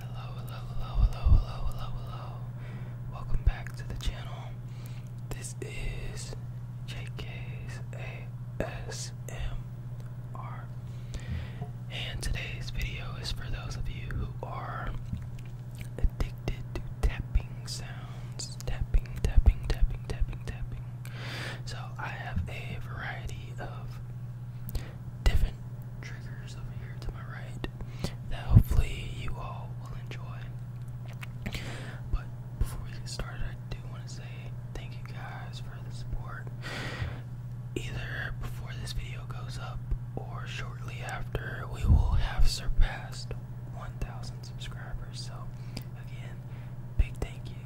hello, hello, hello, hello, hello. Welcome back to the channel. This is JK's and today's video is for those of you who are addicted to tapping sounds. Tapping, tapping, tapping, tapping, tapping. So I have a variety of different triggers over here to my right that hopefully you all will enjoy. But before we get started, I do want to say thank you guys for the support. Either before this video goes up or shortly after, we will have surpassed 1,000 subscribers. So, again, big thank you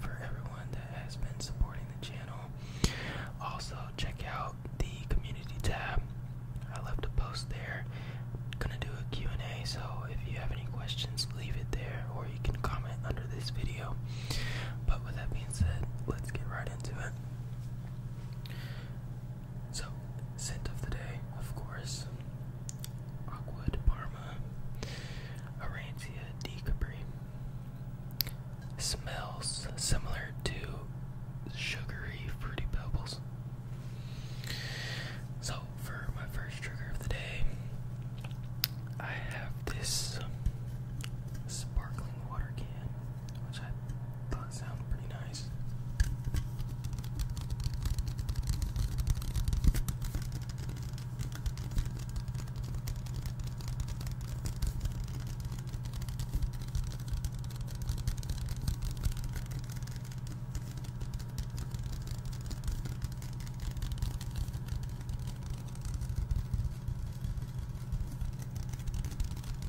for everyone that has been supporting the channel. Also, check out the community tab. I left a post there. I'm gonna do a Q&A, so if you have any questions, leave it there, or you can comment under this video. But with that being said, let's get right into it. So, scent of the day, of course. Aqua de Parma, Arancia di Smells similar to sugary fruity pebbles. So, for my first trigger of the day, I have this sparkling water can which I thought sounded pretty nice.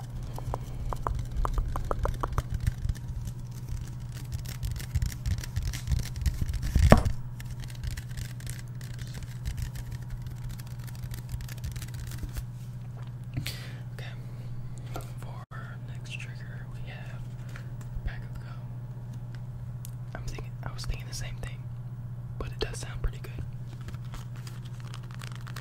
Okay. For next trigger, we have Pakuko. I'm thinking I was thinking the same thing, but it does sound pretty good.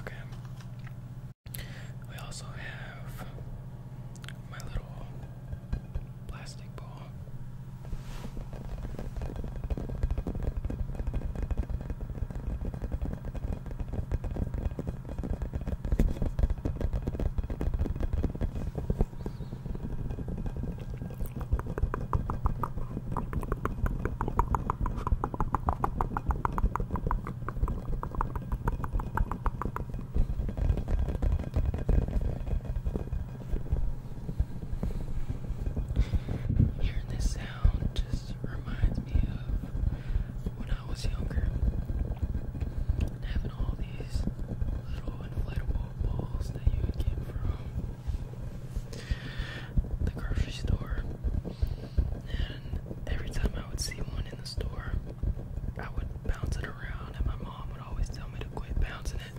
Okay. We also have my little plastic ball. Hearing this sound just reminds me of when I was younger. Having all these little inflatable balls that you would get from the grocery store, and every time I would see one in the store, I would bounce it around, and my mom would always tell me to quit bouncing it.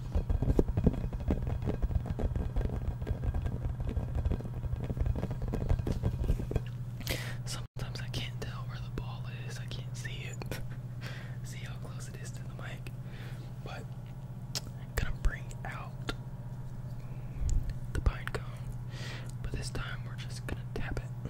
Sometimes I can't tell where the ball is. I can't see it. see how close it is to the mic. But I'm gonna bring out the pine But this time we're just gonna tap it.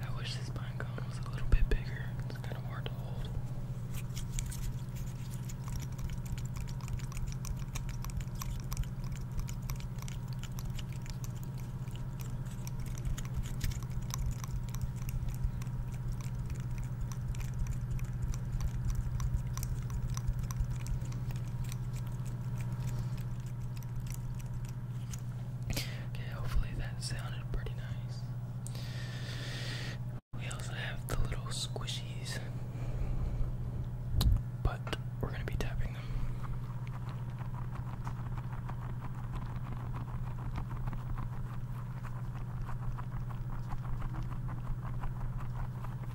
I wish this pine cone was a little bit bigger. It's kind of hard to hold. Okay, hopefully that sounded pretty nice. We also have the little squishies, but we're going to be tapping them.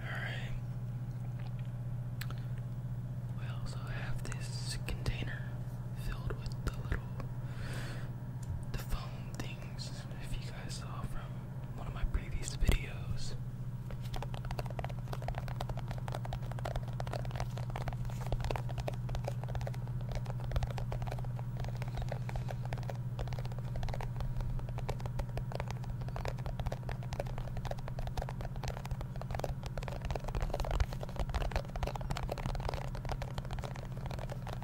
Alright. We also have this container filled with the little the foam thing if you guys saw from one of my previous videos.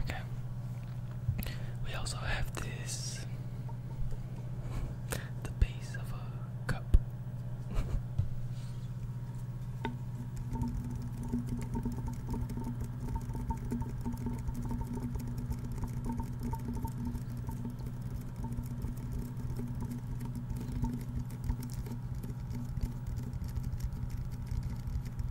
Okay. We also have this the base of a cup.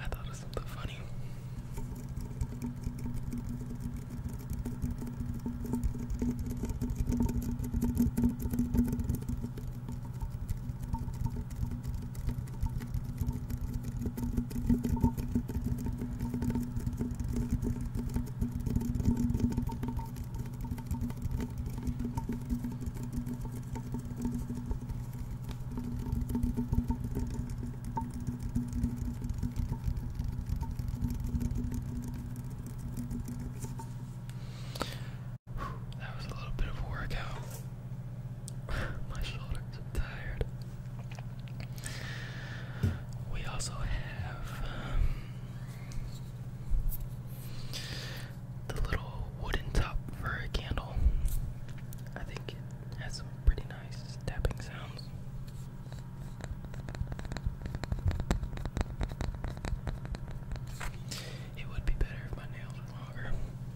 I thought it was something funny. That was a little bit of a workout. My shoulders are tired. We also have um, the little wooden top for a candle. I think it has some pretty nice tapping sounds. It would be better if my nails were longer.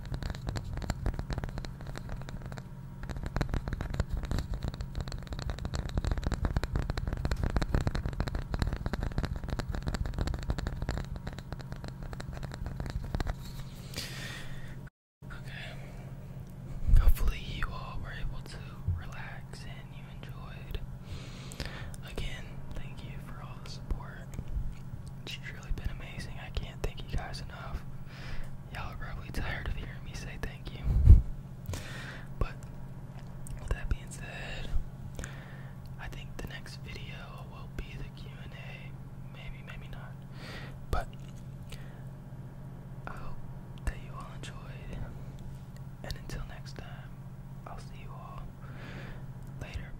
Okay. Hopefully, you all were able to relax and you enjoyed. Again, thank you for all the support. It's really been amazing. I can't thank you guys enough. Y'all are probably tired of hearing me say thank you. but with that being said, I think the next video will be the Q&A. Maybe, maybe not. But I hope that you all enjoyed. And until next time, I'll see you all later.